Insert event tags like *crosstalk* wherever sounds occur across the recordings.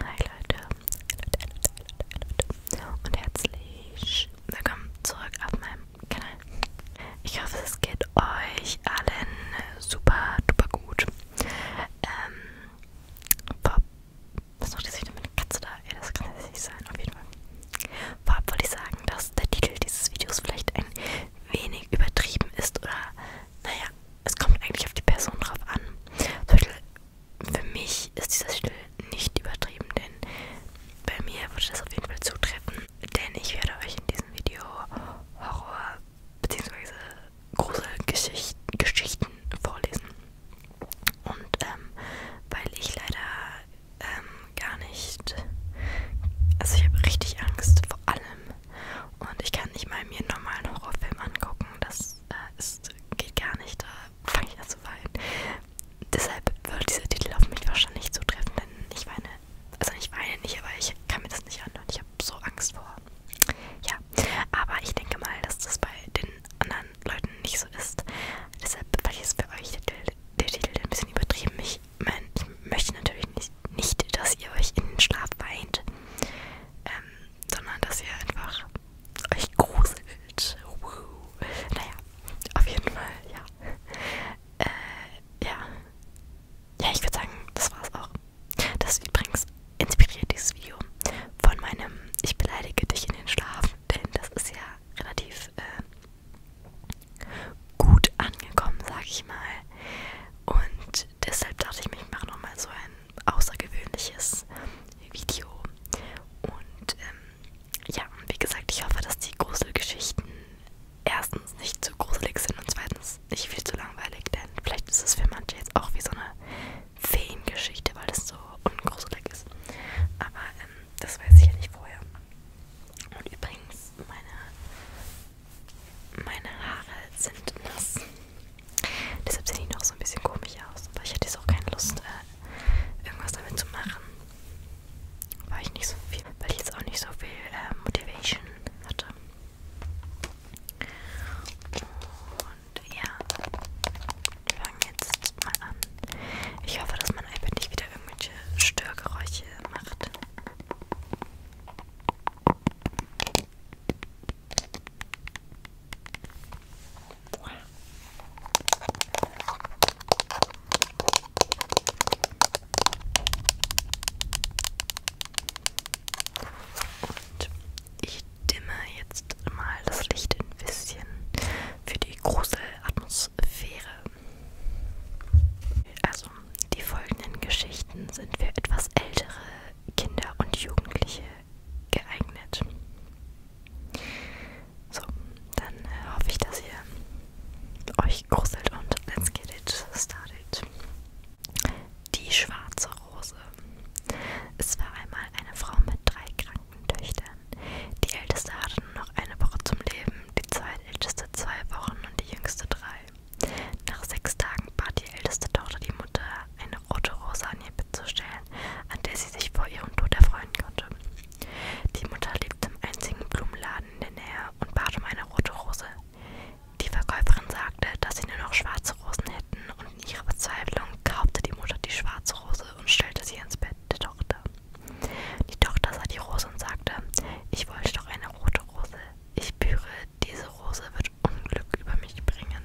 Hi Leute. Und herzlich willkommen zurück auf meinem Kanal. Ich hoffe, es geht euch allen super duper gut. Ähm, Bob, was macht jetzt wieder meine Katze da? Ey, das kann jetzt nicht sein, auf jeden Fall. Vorab wollte ich sagen, dass der Titel dieses Videos vielleicht ein wenig übertrieben ist oder, naja, es kommt eigentlich auf die Person drauf an. Zum Beispiel für mich ist dieser Stil nicht übertrieben, denn bei mir würde das auf jeden Fall zutreffen. Denn ich werde euch in diesem Video Horror- bzw. Gruselgeschichten Geschichten vorlesen. Und ähm, weil ich leider ähm, gar nicht. Also ich habe richtig Angst vor allem. Und ich kann nicht mal mir einen normalen Horrorfilm angucken. Das äh, ist das geht gar nicht, da fange ich an zu weinen. Deshalb würde dieser Titel auf mich wahrscheinlich nicht zutreffen, denn ich weine, also ich weine nicht, aber ich kann mir das nicht anhören. Ich habe so Angst vor. Ja, aber ich denke mal, dass das bei den anderen Leuten nicht so ist. Deshalb weil ich jetzt für euch der, der Titel ein bisschen übertrieben. Ich, mein, ich möchte natürlich nicht, nicht, dass ihr euch in den Schlaf weint. Ähm, sondern dass ihr einfach euch gruselt. Woo. Naja, auf jeden Fall, ja. Äh, ja. Ja, ich würde sagen, das war's auch. Das ist übrigens inspiriert dieses Video von meinem Ich beleidige dich in den Schlaf, denn das ist ja relativ äh, gut angekommen, sag ich mal. Und deshalb dachte ich mir, ich mache nochmal so ein außergewöhnliches Video. Und ähm, ja, wie gesagt, ich hoffe, dass die Gruselgeschichten erstens nicht zu gruselig sind und zweitens nicht viel zu langweilig, denn vielleicht ist es für manche jetzt auch wie so eine Feengeschichte, weil es so ungruselig ist. Aber ähm, das weiß ich ja nicht vorher. Und übrigens, meine, meine Haare sind nass. Deshalb sehen die noch so ein bisschen komisch aus. Aber ich hatte jetzt auch keine Lust, äh, irgendwas damit zu machen. Weil ich nicht so viel, weil ich jetzt auch nicht so viel äh, Motivation hatte. Und ja, wir fangen jetzt mal an. Ich hoffe, dass mein iPad nicht wieder irgendwelche Störgeräusche macht. Und ich dimme jetzt mal das Licht ein bisschen für die große Atmosphäre. Also, die folgenden Geschichten sind für etwas ältere Kinder und Jugendliche geeignet. So, dann äh, hoffe ich, dass ihr euch gruselt und let's get it started. Die schwarze Rose. Es war einmal eine Frau mit drei kranken Töchtern. Die älteste hatte nur noch eine Woche zum Leben, die zweitälteste zwei Wochen und die jüngste drei. Nach sechs Tagen bat die älteste Tochter die Mutter, eine rote Rose an ihr Bett zu stellen, an der sie sich vor ihrem Tod erfreuen konnte. Die Mutter lebte im einzigen Blumenladen in der Nähe und bat um eine rote Rose. Die Verkäuferin sagte, dass sie nur noch schwarze Rosen hätten, und in ihrer Verzweiflung kaufte die Mutter die schwarze Rose und stellte sie ins Bett der Tochter. Die Tochter sah die Rose und sagte, ich wollte doch eine rote Rose. Ich büre diese Rose wird Unglück über mich bringen.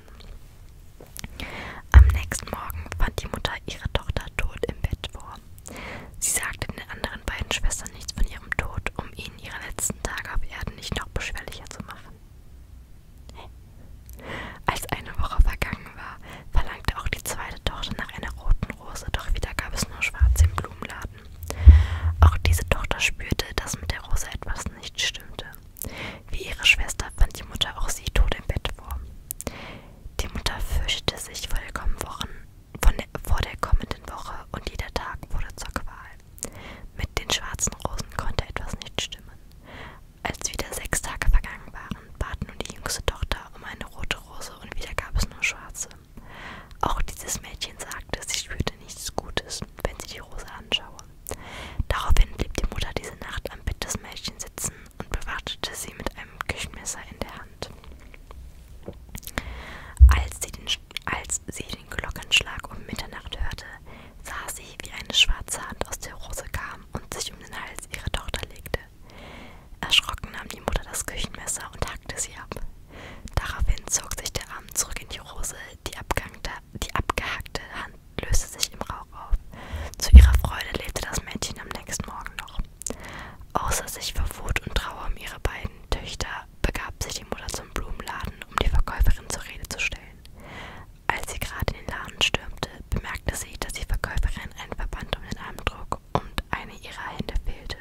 Am nächsten Morgen fand die Mutter ihre Tochter tot im Bett vor. Sie sagte den anderen beiden Schwestern nichts von ihrem Tod, um ihnen ihre letzten Tage auf Erden nicht noch beschwerlicher zu machen. Als eine Woche vergangen war, verlangte auch die zweite Tochter nach einer roten Rose, doch wieder gab es nur schwarze im Blumenladen. Auch diese Tochter spürte, dass mit der Rose etwas nicht stimmte. Wie ihre Schwester fand die Mutter auch sie tot im Bett vor. Die Mutter fürchtete sich vor der, Wochen, von der, vor der kommenden Woche und jeder Tag wurde zur Qual. Mit den schwarzen Rosen konnte etwas nicht stimmen. Als wieder sechs Tage vergangen waren, bat nun die jüngste Tochter um eine rote Rose und wieder gab es nur schwarze. Auch dieses Mädchen sagte, sie spürte Geschichte nichts Gutes, wenn sie die Rose anschaue. Daraufhin blieb die Mutter diese Nacht am Bett des Mädchens sitzen und bewachtete sie mit einem Küchenmesser in der Hand. Als sie den, als sie den Glockenschlag um Mitternacht hörte, sah sie, wie eine schwarze Hand aus der Rose kam und sich um den Hals ihrer Tochter legte. Erschrocken nahm die Mutter das Küchenmesser und hackte sie ab. Daraufhin zog sich der Arm zurück in die Rose, die, die abgehackte Hand löste sich im Rauch auf. Zu ihrer Freude lebte das Mädchen am nächsten Morgen noch. Außer sich vor Wut und Trauer um ihre beiden Töchter begab sich die Mutter zum Blumenladen, um die Verkäuferin zur Rede zu stellen. Als sie gerade in den Laden stürmte, bemerkte sie, dass die Verkäuferin einen Verband um den Arm trug und eine ihrer Hände fehlte.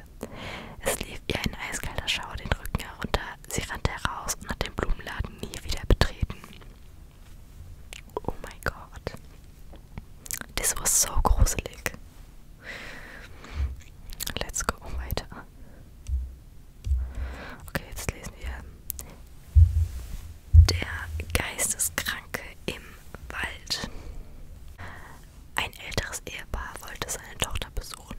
Es lief ihr ein eiskalter Schauer den Rücken herunter, Sie rannte heraus und hat den Blumenladen nie wieder betreten. Oh mein Gott. Das war so gruselig. Let's go weiter. Okay, jetzt lesen wir. Der Geisteskranke im Wald. Ein älteres Ehepaar wollte seine Tochter besuchen.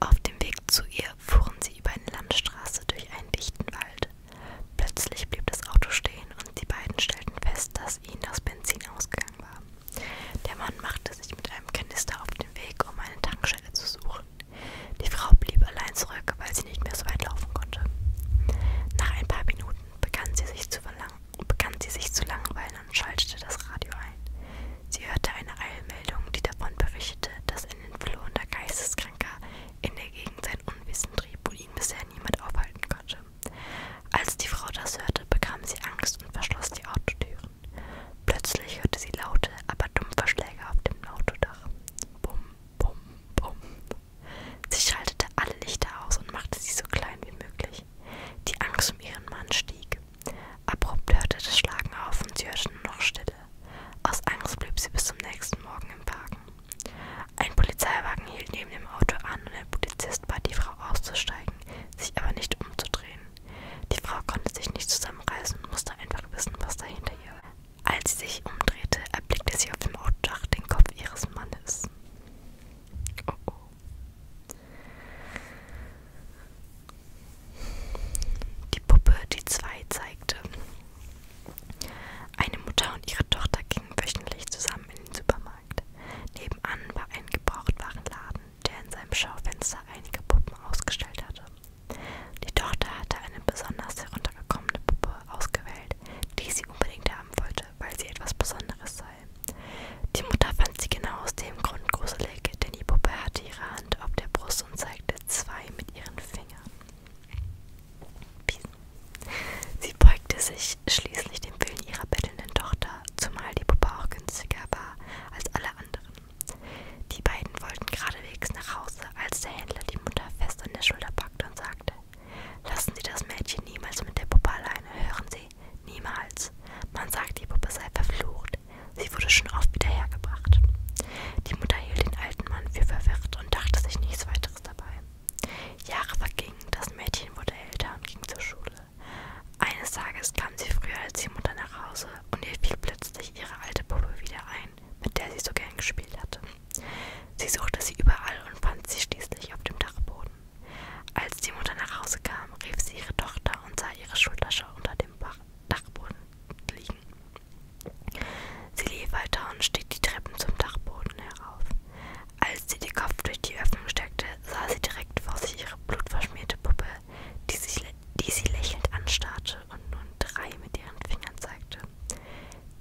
Auf dem Weg Weg zu ihr fuhren sie über eine Landstraße durch einen dichten Wald. Plötzlich blieb das Auto stehen und die beiden stellten fest, dass ihnen das Benzin ausgegangen war. Der Mann machte sich mit einem Kanister auf den Weg, um eine Tankstelle zu suchen. Die Frau blieb allein zurück, weil sie nicht mehr so weit laufen konnte. Nach ein paar Minuten begann sie sich zu, begann sie sich zu langweilen und schaltete das Radio ein. Sie hörte eine Eilmeldung, die davon berichtete, dass ein entflohender Geisteskranker in der Gegend sein Unwissen trieb und ihn bisher niemand aufhalten konnte. Als die Frau das hörte, bekam sie Angst und verschloss die Autotüren. Plötzlich hörte sie laute, aber dumpfe Schläge auf dem Autodach. Bum, bum, bum. Sie schaltete alle Lichter aus und machte sie so klein wie möglich. Die Angst um ihren Mann stieg. Abrupt hörte das Schlagen auf und sie hörte nur noch Stille. Aus Angst blieb sie bis zum nächsten Morgen im Wagen. Ein Polizeiwagen hielt neben dem Auto an und ein Polizist bat die Frau auszusteigen, sich aber nicht umzudrehen. Die Frau konnte sich nicht zusammenreißen und musste einfach wissen, was dahinter ihr war. Als sie sich umdrehte, erblickte sie auf dem Autodach den Kopf ihres Mannes. Oh oh. Die Puppe, die zwei zeigte. Eine Mutter und ihre Tochter gingen wöchentlich zusammen in den Supermarkt. Nebenan war ein Gebrauchtwarenladen, der in seinem Schaufenster einige Puppen ausgestellt hatte. Die Tochter hatte eine besonders heruntergekommene Puppe ausgewählt, die sie unbedingt haben wollte, weil sie etwas Besonderes sei. Die Mutter fand sie genau aus dem Grund große Blick, denn die Puppe hatte ihre Hand auf der Brust und zeigte zwei mit ihren Fingern. Sie beugte sich schließlich dem Willen ihrer bettelnden Tochter, zumal die Puppe auch günstiger war als alle anderen. Die beiden wollten geradewegs nach Hause, als der Händler die Mutter fest an der Schulter packte und sagte, Lassen Sie das Mädchen niemals mit der Puppe alleine, hören Sie, niemals. Man sagt, die Puppe sei verflucht, gebracht. Sie wurde schon oft wieder hergebracht. Die Mutter hielt den alten Mann für verwirrt und dachte sich nichts weiteres dabei. Jahre vergingen, das Mädchen wurde älter und ging zur Schule. Eines Tages kam sie früher als die Mutter nach Hause und ihr fiel plötzlich ihre alte Puppe wieder ein, mit der sie so gern gespielt hatte. Sie suchte sie überall und fand sie schließlich auf dem Dachboden. Als die Mutter nach Hause kam, rief sie ihre Tochter und sah ihre Schultasche unter dem Bach Dachboden liegen. Sie lief weiter und stieg die Treppen zum Dachboden herauf. Als sie den Kopf durch die Öffnung steckte, sah sie direkt vor sich ihre blutverschmierte Puppe, die, sich, die sie lächelnd anstarrte und nun drei mit ihren Fingern zeigte.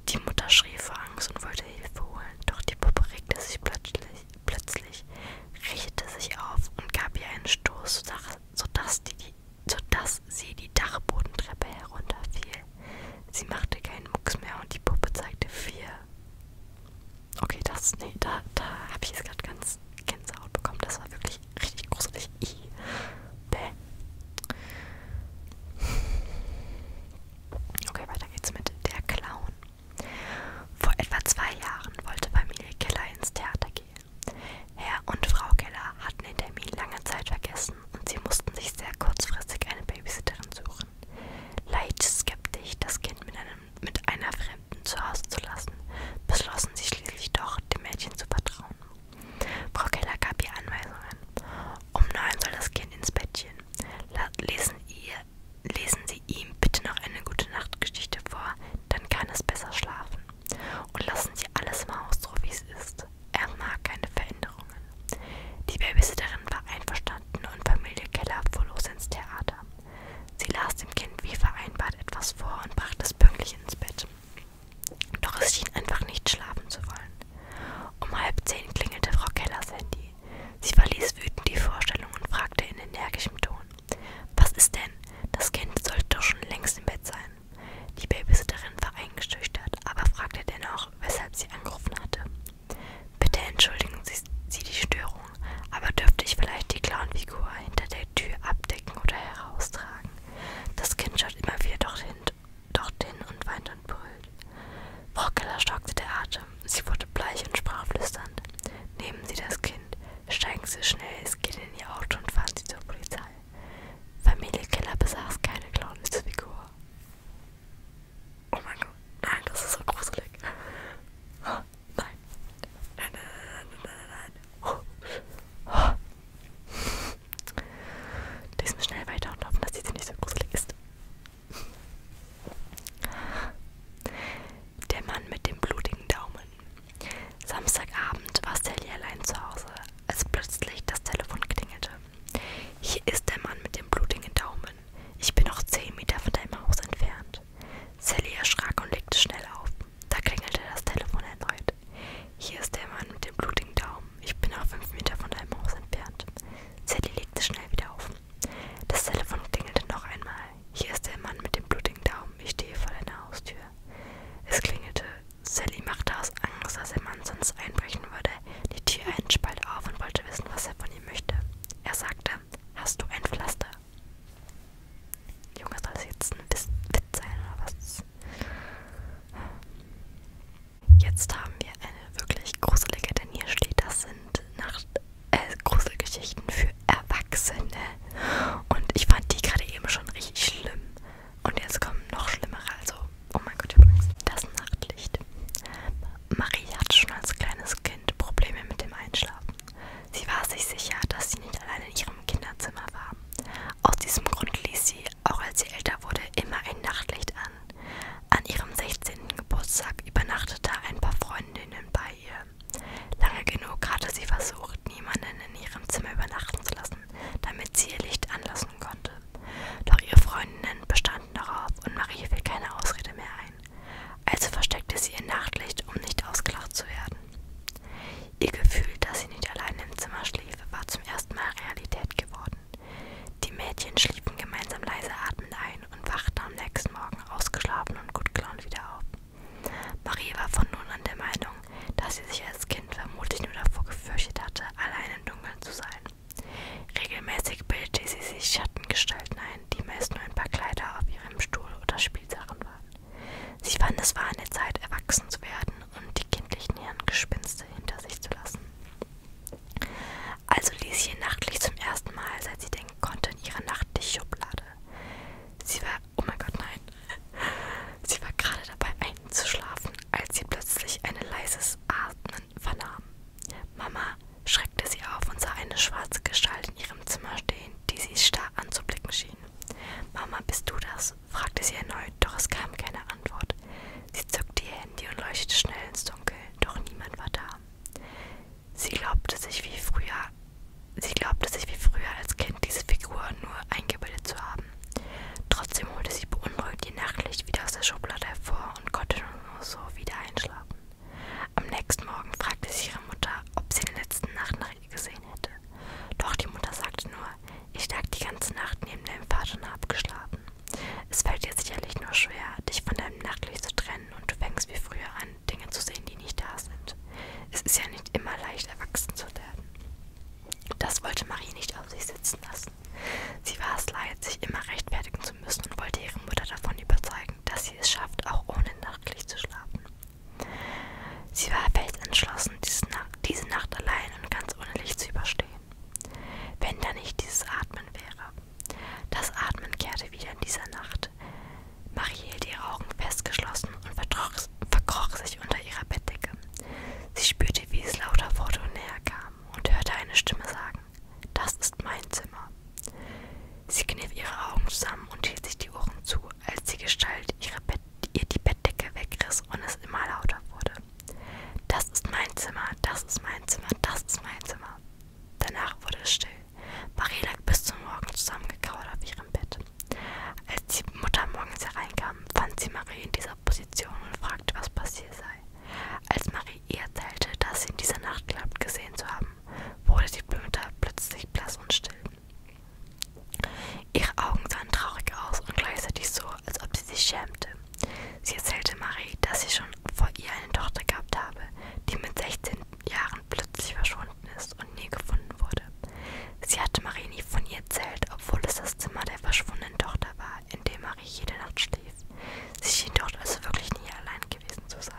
Die Mutter schrie vor Angst und wollte Hilfe holen, doch die Puppe regte sich plötzlich plötzlich richtete sich auf und gab ihr einen Stoß, sodass, die, sodass sie die Dachbodentreppe herunterfiel. Sie machte keinen Mucks mehr und die Puppe zeigte vier. Okay, das, nee, da, da habe ich jetzt gerade ganz Gänsehaut bekommen. Das war wirklich richtig gruselig. I. Bäh. Okay, weiter geht's mit der Clown. Vor etwa zwei Jahren wollte Familie Keller ins Theater gehen. Herr und Frau Keller hatten den Termin lange Zeit vergessen und sie mussten sich sehr kurzfristig eine Babysitterin suchen. Leicht skeptisch, das Kind mit, einem, mit einer Fremden zu Hause zu lassen, beschlossen sie schließlich doch, dem Mädchen zu vertrauen. Frau Keller gab ihr Anweisungen. Um neun soll das Kind ins Bettchen. Lesen, ihr, lesen Lese ihm bitte noch eine gute Nachtgeschichte vor, dann kann es besser schlafen. Und lassen Sie alles im Haus so, wie es ist. Er mag keine Veränderungen. Die Babysitterin war einverstanden und Familie Keller fuhr los ins Theater. Sie las dem Kind wie vereinbart etwas vor und brachte es pünktlich ins Bett. Doch es schien einfach nicht schlafen zu wollen. Um halb zehn klingelte Frau Kellers Handy. Sie verließ wütend die Vorstellung und fragte in energischem Ton: was ist denn? Das Kind sollte doch schon längst im Bett sein. Die Babysitterin war eingeschüchtert, aber fragte dennoch, weshalb sie angerufen hatte. Bitte entschuldigen Sie, sie die Störung, aber dürfte ich vielleicht die Clownfigur hinter der Tür abdecken oder heraustragen? Das Kind schaut immer wieder dorthin, dorthin und weint und brüllt. Frau Keller stockte der Atem. Sie wurde bleich und sprach flüsternd. Nehmen Sie das Kind steigen sie schnell, es geht in ihr Auto und fahren sie zur Polizei. Familie Keller besaß keine Clownesfigur. Oh mein Gott, nein, das ist so gruselig. Oh, nein. Nein, nein, nein, nein, nein, nein. Oh. Diesmal schnell weiter und hoffen, dass diese nicht so gruselig ist. Der Mann mit dem blutigen Daumen. Samstagabend war Sally allein zu Hause, als plötzlich das Telefon klingelte. Hier ist der Mann mit dem blutigen Daumen. Ich bin noch zehn Meter von deinem Haus entfernt. Sally erschrak und legte schnell auf. Da klingelte das Telefon erneut. Hier ist der Mann mit dem blutigen Daumen. Ich bin noch fünf Meter von deinem Haus entfernt. Sally legte schnell wieder auf. Das Telefon klingelte noch einmal. Hier ist der Mann mit dem blutigen Daumen. Ich stehe vor deiner Haustür. Es klingelte. Sally machte aus Angst, dass der Mann sonst einbrechen würde, die Tür einen Spalt auf und wollte wissen, was er von ihm möchte. Er sagte, hast du ein Pflaster? Junge, soll das jetzt ein Witz sein oder was? Jetzt haben wir eine wirklich gruselige, denn hier steht, das sind nach äh, Gruselgeschichten für Erwachsene. Und ich fand die gerade eben schon richtig schlimm. Und jetzt kommen noch schlimmere. Also, oh mein Gott, ich hab Angst. Das Nachtlicht. Marie hatte schon als kleines Kind Probleme mit dem Einschlafen. Sie war sich sicher, dass sie nicht allein in ihrem Kinderzimmer war. Aus diesem Grund ließ sie, auch als sie älter wurde, immer ein Nachtlicht an. An ihrem 16. Geburtstag übernachtete ein paar Freundinnen bei ihr. Lange genug hatte sie versucht, niemanden in ihrem Zimmer übernachten zu lassen, damit sie ihr Licht anlassen konnte. Doch ihre Freundinnen bestanden darauf und Marie fiel keine Ausrede mehr ein. Also versteckte sie ihr Nachtlicht, um nicht ausgelacht zu werden. Ihr Gefühl, dass sie nicht allein im Zimmer schlief, war zum ersten Mal Realität geworden. Die Mädchen schliefen gemeinsam leise atmend ein ein und wachte am nächsten Morgen ausgeschlafen und gut gelaunt wieder auf. Marie war von nun an der Meinung, dass sie sich als Kind vermutlich nur davor gefürchtet hatte, allein im Dunkeln zu sein. Regelmäßig bildete sie sich Schattengestalten ein, die meist nur ein paar Kleider auf ihrem Stuhl oder Spielsachen waren. Sie fand, es war an der Zeit, erwachsen zu werden und die kindlichen Hirngespinste hinter sich zu lassen. Also ließ sie nachtlich zum ersten Mal, seit sie der bringen konnte in ihrer Nachttischschublade. Sie war, oh mein Gott, nein. *laughs* Sie war gerade dabei einzuschlafen, als sie plötzlich ein leises Atmen vernahm. Mama schreckte sie auf und sah eine schwarze Gestalt in ihrem Zimmer stehen, die sie starr anzublicken schien. Mama, bist du das? fragte sie erneut, doch es kam keine Antwort. Sie zückte ihr Handy und leuchtete schnell ins Dunkel, doch niemand war da. Sie glaubte sich wie früher, sie glaubte sich wie früher als Kind diese Figur nur eingebildet zu haben. Trotzdem holte sie beunruhigt ihr Nachtlicht wieder aus der Schublade hervor und konnte nur so wieder einschlafen. Am nächsten Morgen fragte sie ihre Mutter, ob sie in der letzten Nacht nach ihr gesehen hätte. Doch die Mutter sagte nur, ich lag die ganze Nacht neben deinem Vater und habe geschlafen. Es fällt dir sicherlich nur schwer, dich von deinem Nachtlicht zu trennen und du fängst wie früher an, Dinge zu sehen, die nicht da sind. Es ist ja nicht immer leicht, erwachsen zu werden. Das wollte Marie nicht auf sich sitzen lassen. Sie war es leid, sich immer rechtfertigen zu müssen und wollte ihre Mutter davon überzeugen, dass sie es schafft, auch ohne Nachtlicht zu schlafen. Sie war fest entschlossen, diese Nacht, diese Nacht allein und ganz ohne Licht zu überstehen. Wenn da nicht dieses Atmen wäre, das Atmen kehrte wieder in dieser Nacht. Marie hielt ihre Augen festgeschlossen und verkroch sich unter ihrer Bettdecke. Sie spürte, wie es lauter wurde und näher kam und hörte eine Stimme sagen, das ist mein Zimmer. Sie kniff ihre Augen zusammen und hielt sich die Ohren zu, als die Gestalt ihre Bett ihr die Bettdecke wegriss und es immer lauter wurde. Das ist mein Zimmer, das ist mein Zimmer, das ist mein Zimmer. Danach wurde es still. Marie lag bis zum Morgen zusammengekauert auf ihrem Bett. Als die Mutter morgens hereinkam, fand sie Marie in dieser Position und fragte, was passiert sei. Als Marie ihr erzählte, dass sie in dieser Nacht glaubt gesehen zu haben, wurde die Mutter plötzlich blass und still. Ihre Augen sahen traurig aus und gleichzeitig so, als ob sie sich schämte. Sie erzählte Marie, dass sie schon vor ihr eine Tochter gehabt habe, die mit 16 Jahren plötzlich verschwunden ist und nie gefunden wurde. Sie hatte Marie nie von ihr erzählt, obwohl es das Zimmer der verschwundenen Tochter war, in dem Marie jede Nacht schlief. Sie schien dort also wirklich nie allein gewesen zu sein.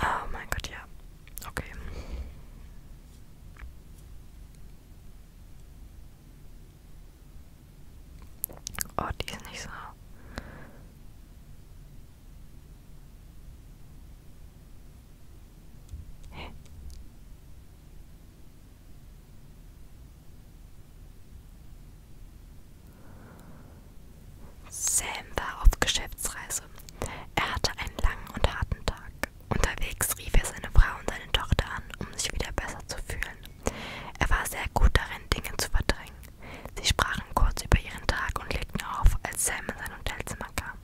Oh mein Gott, ja. Okay. Oh, die ist nicht so. Hä? Sam war auf Geschäftsreise. Er hatte einen langen und harten Tag. Unterwegs rief er seine Frau und seine Tochter an, um sich wieder besser zu fühlen, er war sehr gut darin, Dinge zu verdrängen. Sie sprachen kurz über ihren Tag und legten auf, als Sam in sein Hotelzimmer kam.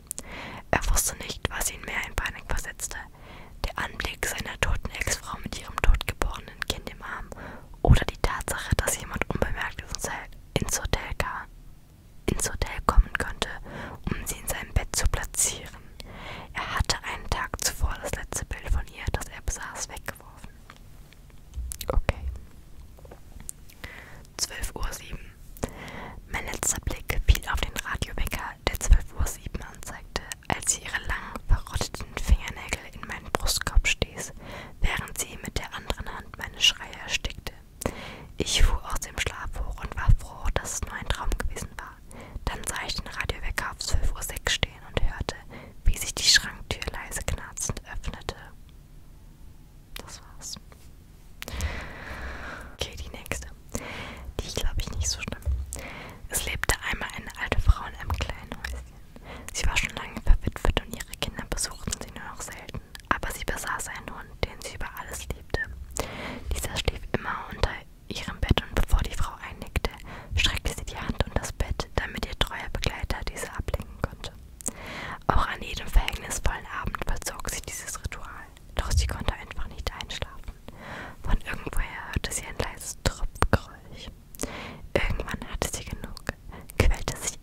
Er wusste nicht, was ihn mehr in Panik versetzte. Der Anblick seiner toten Ex-Frau mit ihrem totgeborenen Kind im Arm oder die Tatsache, dass jemand unbemerkt ins Hotel, kam, ins Hotel kommen könnte, um sie in seinem Bett zu platzieren. Er hatte einen Tag zuvor das letzte Bild von ihr, das er besaß, weggeworfen. Okay. 12.07 Uhr. Mein letzter Blick fiel auf den Radiowecker, der 12.07 Uhr anzeigte, als sie ihre langen, verrotteten Fingernägel in meinen Brustkorb stieß, während sie mit der anderen Hand meine Schreie erstickte. Ich fuhr aus dem Schlaf hoch und war froh, dass es nur ein Traum gewesen war. Dann sah ich den Radiowecker auf 12.06 Uhr stehen und hörte, wie sich die Schranktür leise knarzend öffnete. Das war's. Okay, die nächste. Die glaube ich nicht so schlimm. Es lebte einmal eine alte Frau in einem kleinen Häuschen. Sie war schon lange verwitwet und ihre Kinder besuchten sie nur noch selten. Aber sie besaß einen Hund, den sie über alles liebte. Dieser schlief immer unter ihrem Bett und bevor die Frau einnickte, streckte sie die Hand und das Bett Zeit, damit ihr treuer Begleiter diese ablenken konnte. Auch an jedem verhängnisvollen Abend vollzog sie dieses Ritual, doch sie konnte einfach nicht einschlafen. Von irgendwoher hörte sie ein leises Tropfgeräusch. Irgendwann hatte sie genug, quälte sich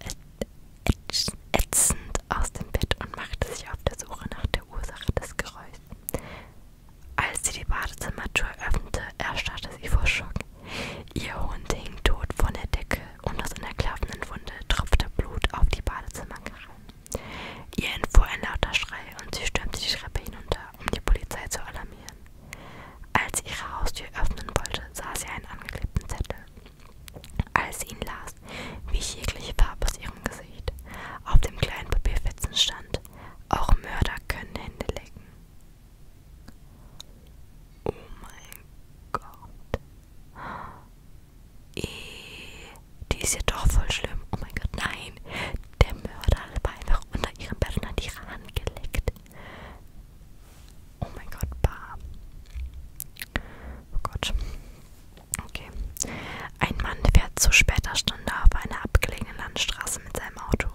ätzend aus dem Bett und machte sich auf der Suche nach der Ursache des Geräuschs. Als sie die Badezimmertür öffnete, erstarrte sie vor Schock. Ihr Hund hing tot von der Decke und aus einer klaffenden Wunde tropfte Blut auf die Badezimmerkarre. Ihr entfuhr ein lauter Schrei und sie stürmte die Treppe hinunter, um die Polizei zu alarmieren. Als sie ihre Haustür öffnen wollte, sah sie einen angeklebten Zettel. Als sie ihn las, wich jegliche Farbe aus ihrem Gesicht. Auf dem kleinen Papierfetzen stand: Auch Mörder können Hände lecken. Oh mein Gott. E die ist ja doch voll schlimm. Oh mein Gott, nein. Der Mörder hat einfach unter ihrem Bett und hat ihre Hand geleckt. Oh mein Gott, Bar. Oh Gott. Okay. Ein Mann fährt zu später Stunde auf einer abgelegenen Landstraße mit seinem Auto.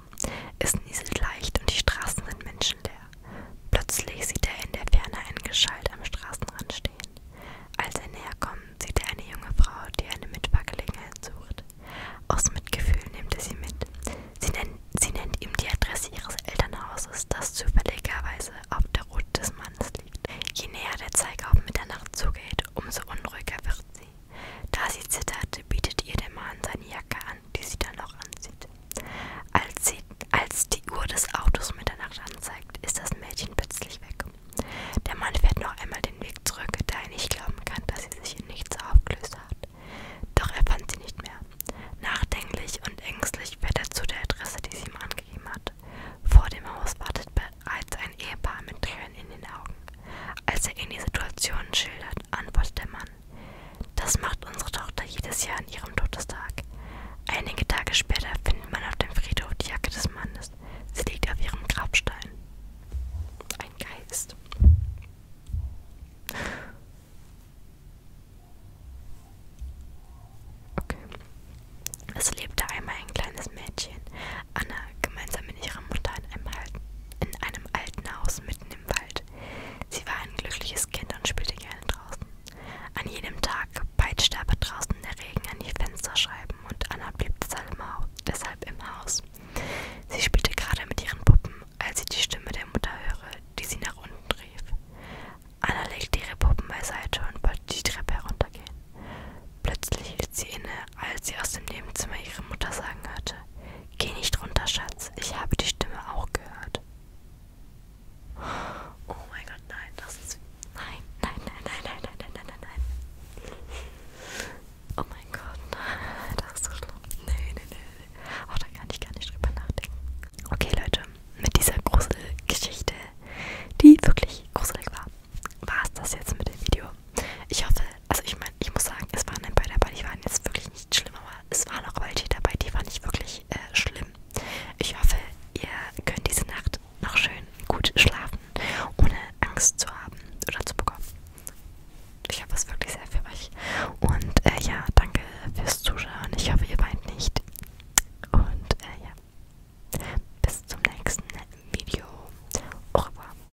Es nieselt leicht und die Straßen sind menschenleer. Plötzlich sieht er in der Ferne einen Geschalt am Straßenrand stehen. Als er näher kommt, sieht er eine junge Frau, die eine Mitfahrgelegenheit sucht. Aus Mitgefühl nimmt er sie mit. Sie nennt, sie nennt ihm die Adresse ihres Elternhauses, das zufälligerweise auf der Route des Mannes liegt. Je näher der Zeiger auf Mitternacht zugeht, umso unruhiger wird sie. Da sie zitterte, bietet ihr der Mann seine Jacke an, die sie dann auch anzieht. Als, sie, als die Uhr des Autos Mitternacht anzeigt, ist das Mädchen plötzlich weg. Der Mann fährt noch einmal den Weg zurück, da er nicht glauben kann, dass sie sich in nichts aufgelöst hat. Doch er fand sie nicht mehr. Nachdenklich und ängstlich fährt er zu der Adresse, die sie ihm angegeben hat. Vor dem Haus wartet bereits ein Ehepaar mit Tränen in den Augen. Als er ihnen die Situation schildert, antwortet der Mann: Das macht unsere Tochter jedes Jahr an ihrem Todestag. Einige Tage später findet man auf dem Friedhof die Jacke des Mannes. Sie liegt auf ihrem Grabstein. Ein Geist. Okay. Es lebte einmal ein kleines Mädchen, Anna, gemeinsam mit ihrer Mutter in einem, in einem alten Haus mitten im Wald. Sie war ein glückliches Kind und spielte gerne draußen. An jedem Tag peitschte aber draußen der Regen an die Fensterscheiben und Anna blieb deshalb im Haus. Sie spielte gerade mit ihren Puppen, als sie die Stimme der Mutter hörte, die sie nach unten rief. Anna legte ihre Puppen beiseite und wollte die Treppe heruntergehen. Plötzlich hielt sie inne als sie aus dem Nebenzimmer ihre Mutter sagen hörte: Geh nicht runter, Schatz, ich habe die Stimme auch gehört. Oh mein Gott, nein, das ist. Nein, nein, nein, nein, nein, nein, nein, nein, nein. Oh mein Gott, das ist so schlimm. Nee, nee, nee, nee. Oh, da kann ich gar nicht drüber nachdenken. Okay, Leute, mit dieser Gruselgeschichte, die wirklich gruselig war, war es das jetzt mit dem Video. Ich hoffe, also ich meine, ich muss sagen, es waren ein paar dabei, die waren jetzt wirklich nicht schlimm, aber es waren auch welche dabei, die waren nicht wirklich äh, schlimm. Ich hoffe, ihr könnt diese Nacht noch schön gut schlafen, ohne Angst zu haben oder zu bekommen. Ich habe es wirklich sehr für euch. Und äh, ja, danke fürs Zuschauen. Ich hoffe, ihr weint nicht. Und äh, ja, bis zum nächsten Video. Au revoir.